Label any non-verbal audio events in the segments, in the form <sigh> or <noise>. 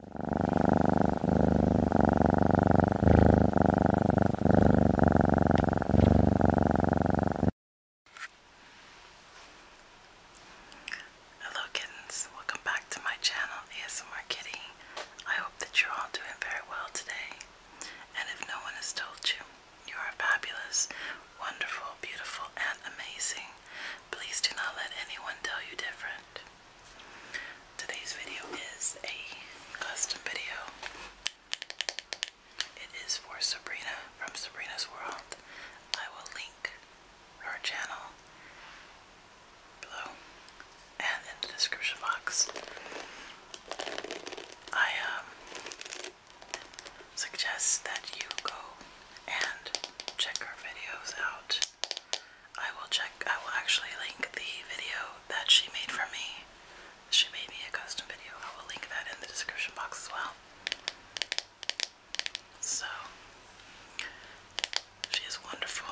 Hello, kittens. Welcome back to my channel, ASMR Kitty. I hope that you're all doing very well today. And if no one has told you, you are fabulous, wonderful, beautiful, and amazing. Please do not let anyone tell you different. Today's video is a custom video. It is for Sabrina from Sabrina's World. I will link her channel below and in the description box. I um, suggest that you go and check her videos out. I will check, I will actually link the video that she made for me. She made me a custom video. I will link that in the description box as well. So she is wonderful.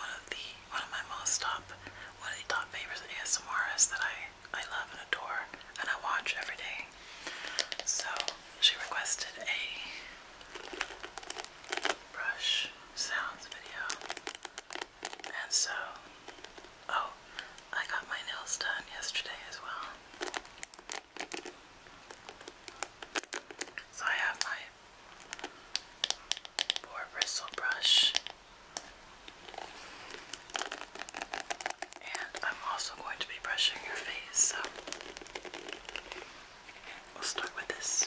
One of the one of my most top one of the top favorites of ASMRs that I I love and adore and I watch every day. So she requested a brush sounds video. And so, oh, I got my nails done yesterday as well. So I have my boar bristle brush. And I'm also going to be brushing your face, so We'll start with this.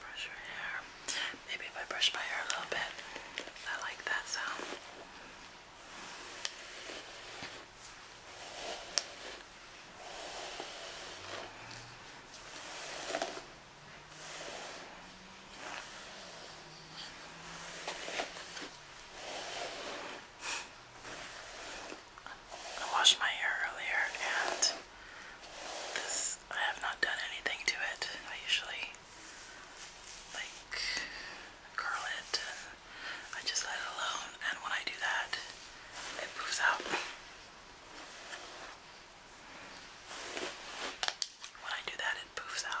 Brush your hair. Maybe if I brush my hair a little bit, I like that sound. Okay. I washed my hair earlier and this I have not done anything to it. I usually like curl it I just let it alone and when I do that it poofs out. When I do that, it poofs out.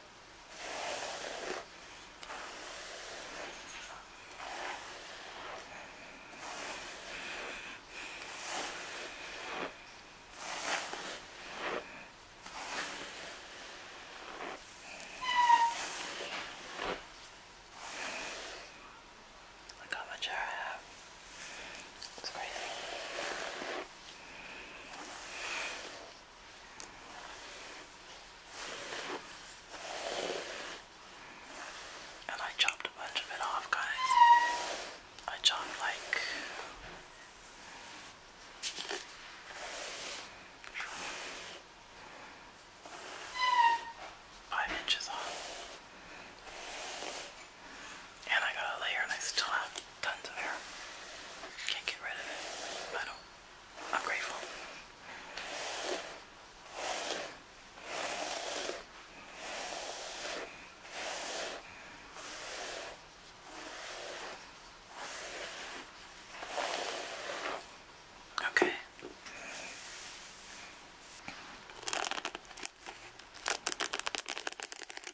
Look how much hair I have. It's crazy. And I chopped a bunch of it off, guys. I chopped like five inches off. And I got a layer and I still have tons of hair. Can't get rid of it. I don't. I'm grateful. Okay.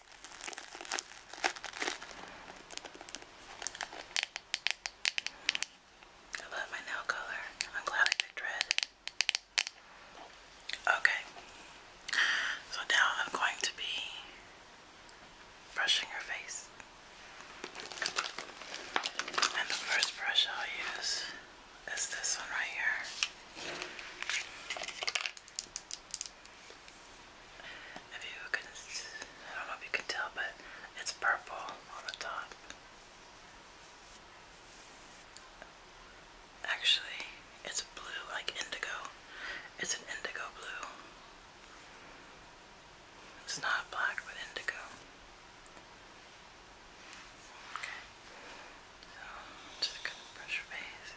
I love my nail color. I'm glad I picked red. Okay, so now I'm going to be brushing her face. And the first brush I'll use is this one right here. If you can, I don't know if you can tell, but it's purple on the top. Actually, it's blue, like indigo. It's an indigo blue. It's not black, with indigo. Okay. So, just gonna brush your face.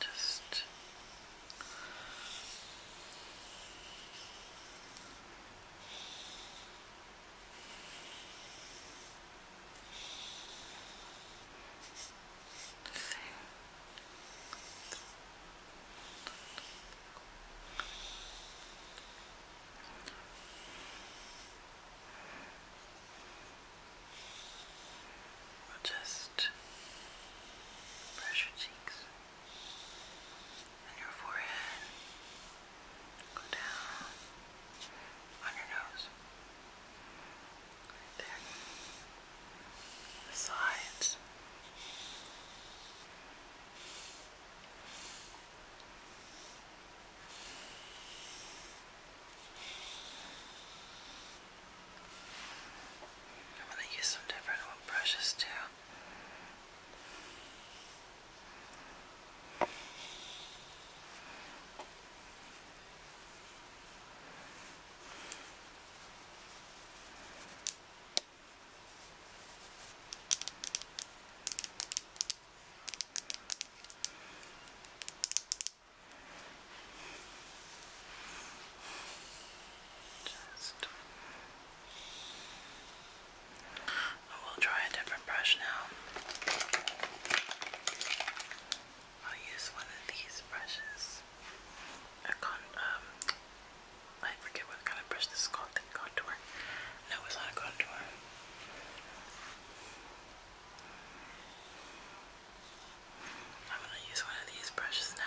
Just Same. We'll just just brush your cheeks and your forehead. Go down on your nose. there. The sides. I'm gonna use some different brushes too. Just. I will try a different brush now. I'll use one of these brushes. A con um I forget what kind of brush this is called, the contour. No, it's not contour. I'm going to use one of these brushes now.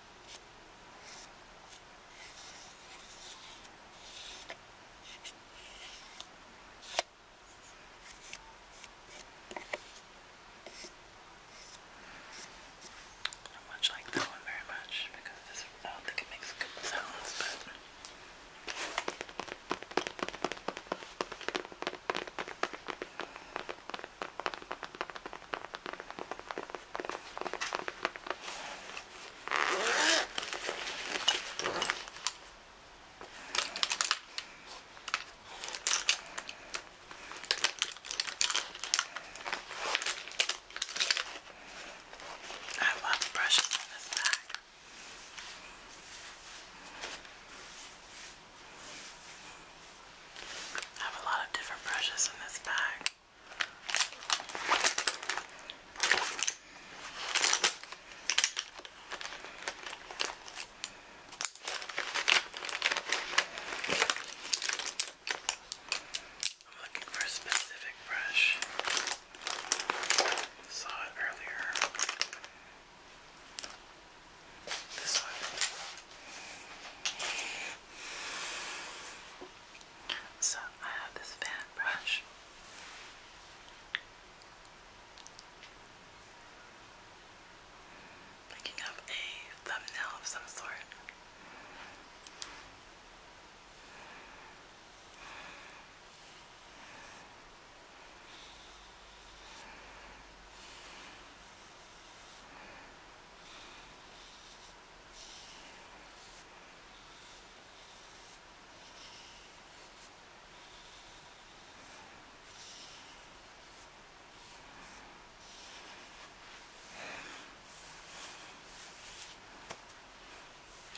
I don't much like that one very much because this, I don't think it makes good sounds, but. I I love brushes on this bag. I have a lot of different brushes in this bag. I'm looking for a specific brush. Saw it earlier. This one. So I have this fan brush. Picking up a thumbnail of some sort.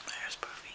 There's Poofy.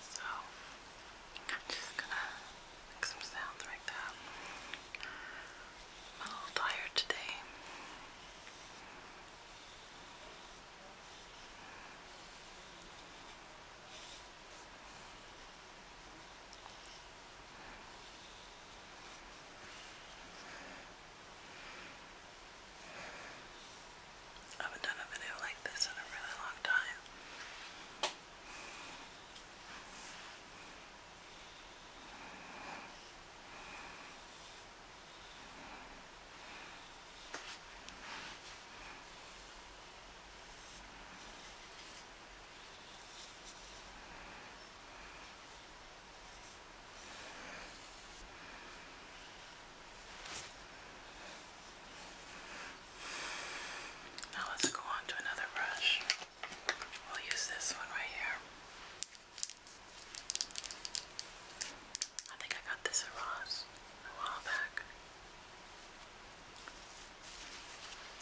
So, i just gonna make some sounds like that. I'm a little tired today. I haven't done a video like this in a really long time. Now let's go on to another brush. We'll use this one right here. I think I got this at Ross a while back.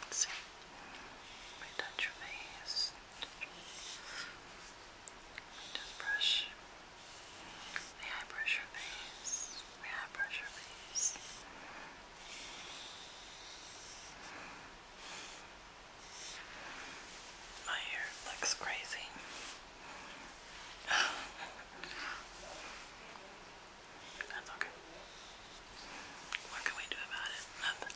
Let's touch your face. Just brush May I brush your face? May I brush your face? My hair looks crazy. <laughs> That's okay. What can we do about it? Nothing.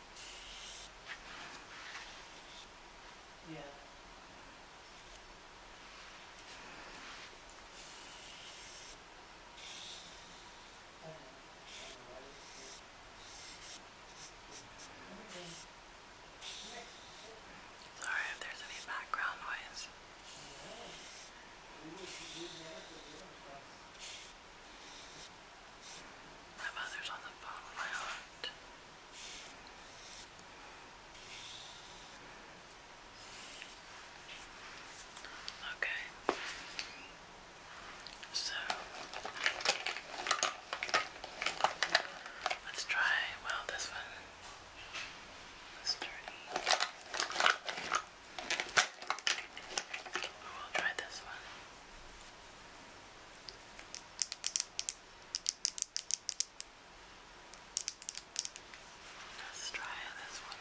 Yeah. Sorry if there's any background noise. My mother's on the phone my aunt. Okay. So let's try well this one. This journey. We will try this one. Let's try this one.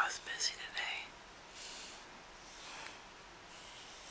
I was busy today.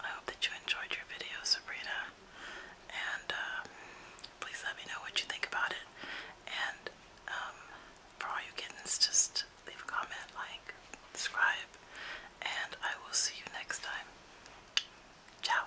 I hope that you enjoyed your video, Sabrina. And um, please let me know what you think about it. And um, for all you kittens, just leave a comment, like, subscribe, and I will see you next time. Ciao.